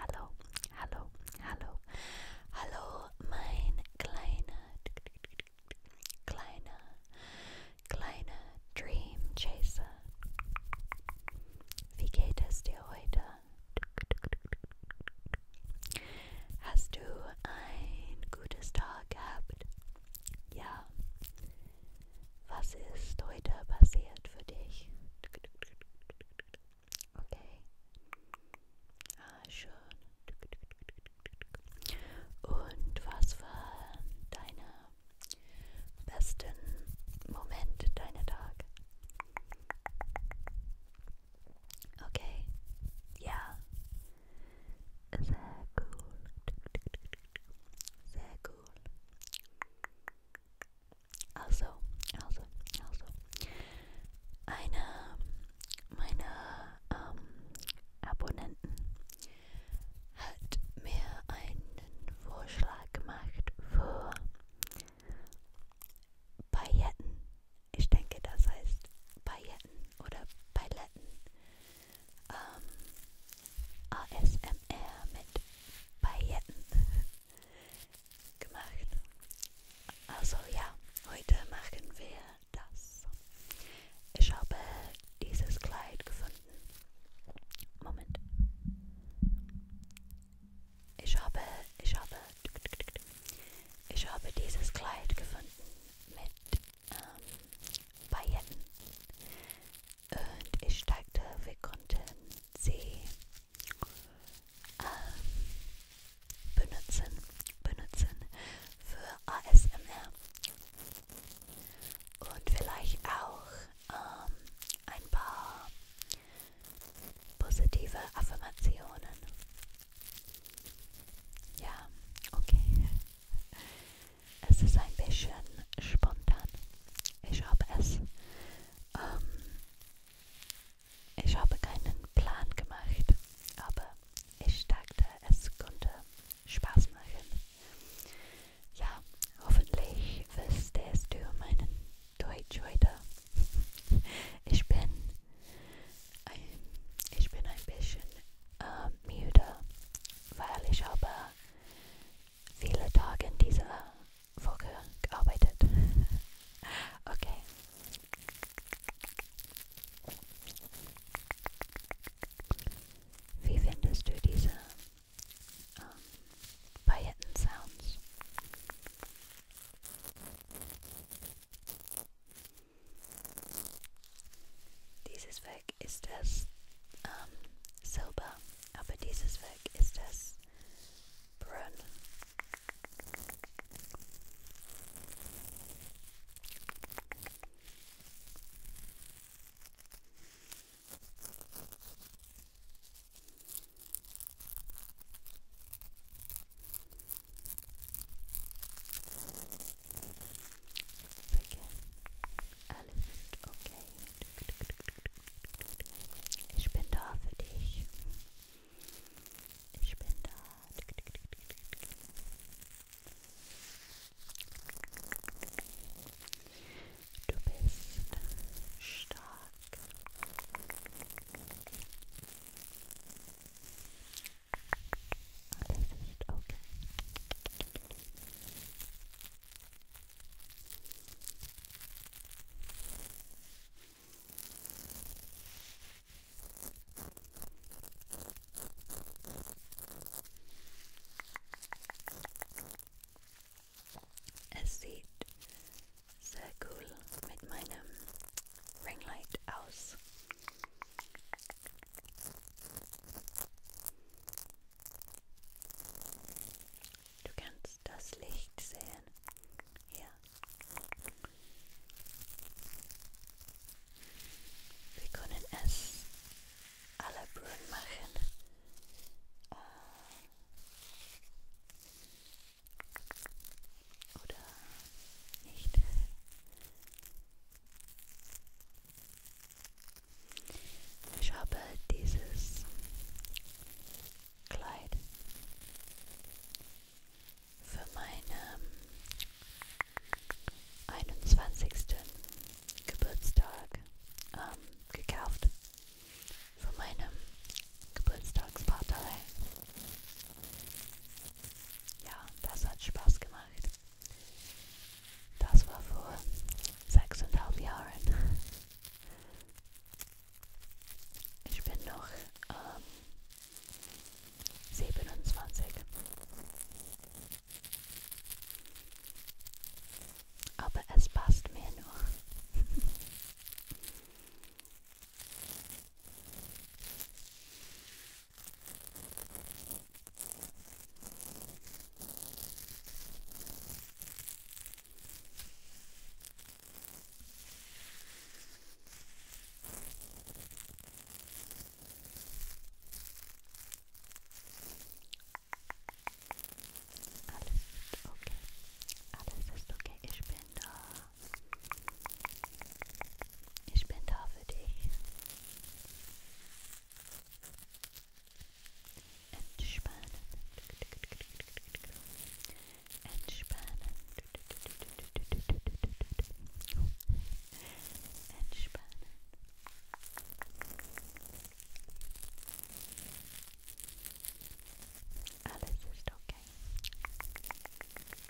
Hallo, hallo, hallo, hallo, mein kleiner, kleiner, kleiner Dream Chaser. Wie geht es dir heute? Hast du ein gutes Tag gehabt? Ja, was ist heute passiert für dich? Okay. Ah, schön. Und was waren deine besten Momente deiner Tag? Okay. Ja. Sehr cool. Sehr cool. Also, also, also. Einer meiner ähm, Abonnenten hat mir einen Vorschlag gemacht für Pailletten. Ich denke, das heißt Pailletten oder Paletten ähm, ASMR mit Pailletten gemacht. Also ja, heute machen wir das. Ich habe dieses Kleid gefunden. Moment. Ich habe, ich habe, ich habe dieses Kleid gefunden mit ähm, Pailletten. Und ich steigte, wir konnten sie ähm, benutzen, benutzen für ASMR. Und vielleicht auch ähm, ein paar positive Affirmationen. Ja, okay. Es ist ein bisschen spontan. Ich habe es. Ähm, ich habe keinen Plan gemacht, aber ich dachte, es könnte Spaß machen. Ja, hoffentlich verstehst du meinen Deutsch heute. Ich bin ein, ich bin ein bisschen äh, müde weil ich habe viele Tage in dieser Woche gearbeitet. Okay. Wie findest du diese ähm, Pailletten-Sounds? Dieses Werk ist das ähm, Silber, aber dieses Werk ist das Brun. Alles ist okay. Ich bin da für dich. Ich bin da. Du bist stark. Das ist okay. Es sieht sehr cool mit meinem Ringlight aus. Du kannst das Licht sehen. Hier. Wir können es alle Brühen machen. Uh, oder nicht. Ich habe dieses Kleid für meinen 21. Geburtstag ähm, gekauft. Von meinem Geburtstagspartei. Ja, das hat Spaß gemacht. Das war vor sechseinhalb Jahren. Ich bin noch ähm, 27. Aber es passt mir noch. Alles ist okay, alles ist okay, ich bin da. Ich bin da für dich. Entspannen. Entspannen. Entspannen. Alles ist okay.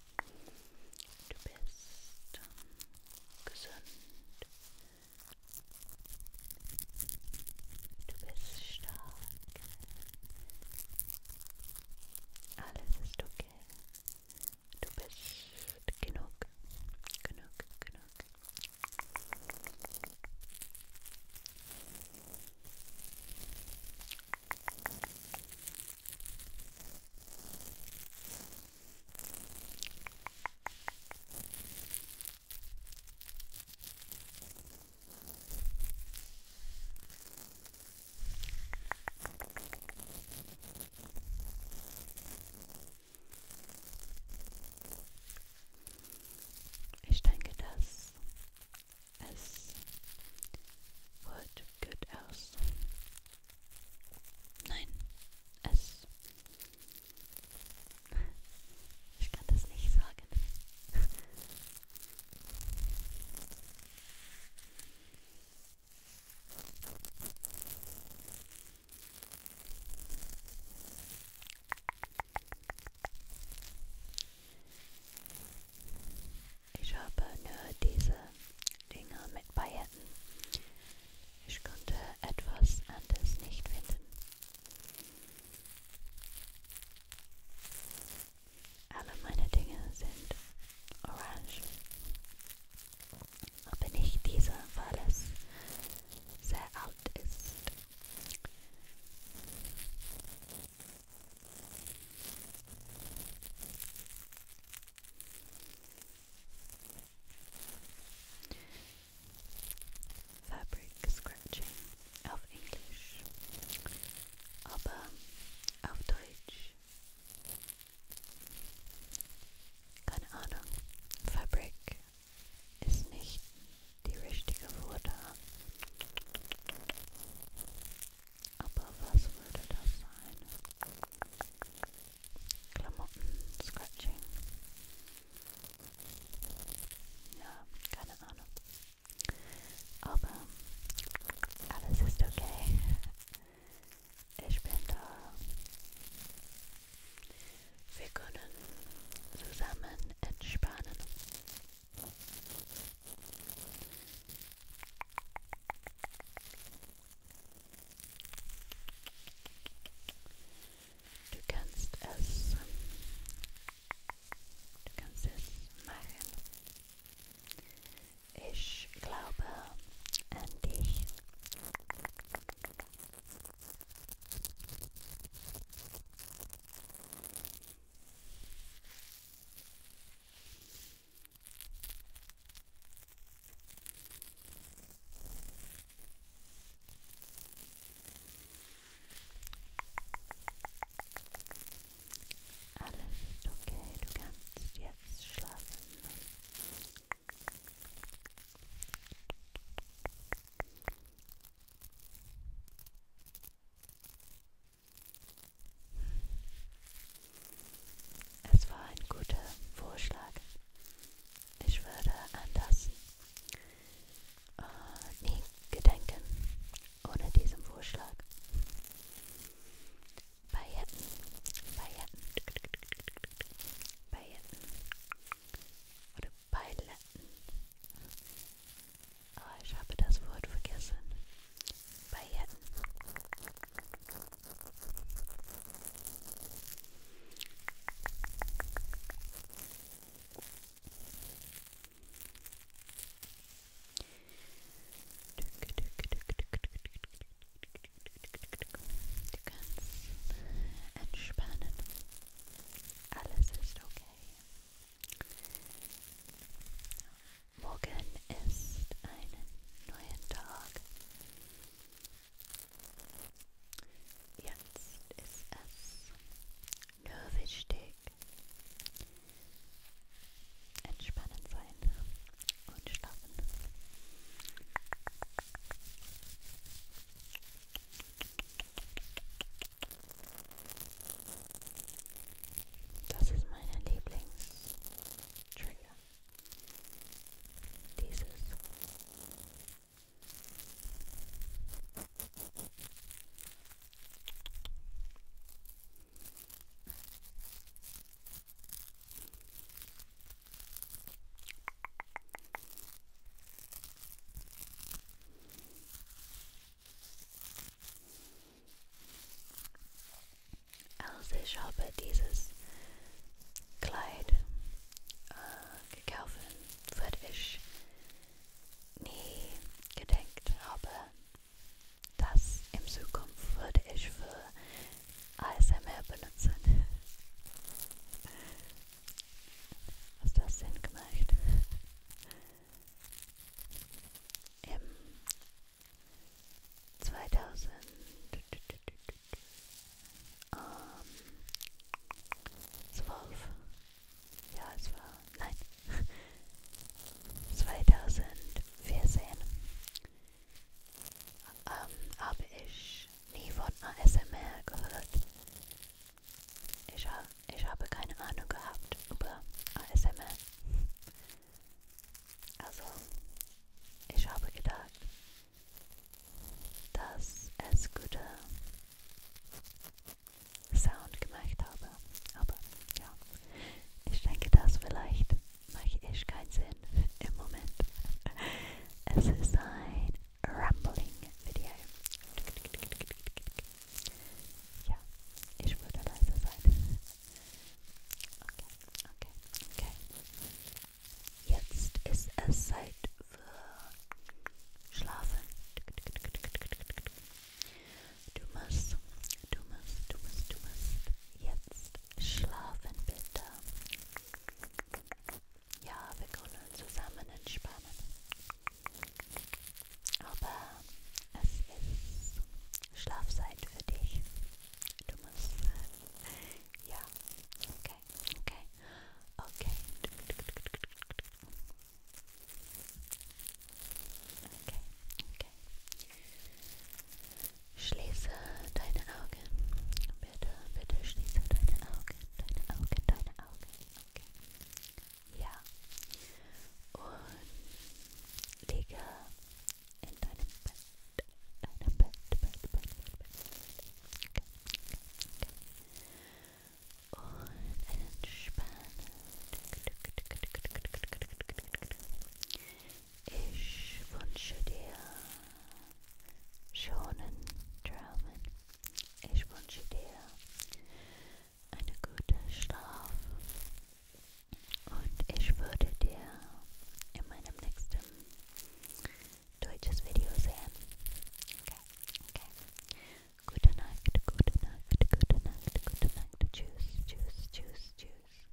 Du bist ähm, gesund. Du bist stark. Alles ist okay. Du bist genug. Genug, genug. Ich denke, das es wird gut aus. Nein, es. Ich kann das nicht sagen. Ich habe nur diese Dinger mit Pailletten. Ich konnte etwas anderes nicht finden. Alle meine Dinge sind orange. Aber nicht diese, weil es sehr alt ist. Fabric Scratching auf Englisch, aber auf Deutsch. Keine Ahnung, Fabric ist nicht die richtige Worte aber was würde das sein? Klamotten, Scratching. Ja, keine Ahnung. Aber alles ist okay. Ich bin da. Wir können zusammen entspannen. Du kannst es, du kannst es machen. Ich glaube an dich. Alles ist okay, du kannst jetzt schlafen. Es war ein guter Vorschlag. Ich würde an das äh, nie gedenken ohne diesen Vorschlag. Pailletten, Pailletten, Pailletten oder Paletten. Aber ich habe das Wort vergessen. Pailletten. Du kannst entspannen. Alles ist okay. Morgen ist einen neuen Tag. Jetzt ist es nur wichtig, entspannen sein und schlafen. Das ist meine Lieblings-Trigger. Dieses. Also ich habe dieses Kleid äh, gekauft, weil ich nie gedacht habe, dass in Zukunft würde ich für ASMR benutzen. Hast du das Sinn gemacht? Im 2000 ähm, 12 ja es war nein 2014 ähm, habe ich nie von ASMR gehört. Ich, ha ich habe keine Ahnung gehabt über ASMR. Also, ich habe gedacht, dass es gute Sound gemacht habe. Aber ja, ich denke, dass vielleicht mache ich keinen Sinn im Moment. Es ist ein rambling video. Ja, ich würde leiser sein. Okay, okay, okay. Jetzt ist es Zeit für Schlafen. Du musst, du musst, du musst, du musst jetzt schlafen, bitte. Ja, wir können zusammen entspannen. Aber es ist Schlafzeit für dich. Du musst. Äh, ja, okay, okay, okay. Okay, okay. Schließe deine Augen. Bitte, bitte schließe deine Augen, deine Augen, deine Augen. Okay. Ja. Und liege in deinem Bett. Deinem Bett, Bett, Bett, Bett, Bett. Okay. Okay. Und entspanne. Ich wünsche dir schönen Träumen. Ich wünsche dir einen guten Schlaf. Und ich würde dir in meinem nächsten deutsches Video sehen. Okay, okay. Gute Nacht, gute Nacht, gute Nacht, gute Nacht. Tschüss, tschüss, tschüss, tschüss.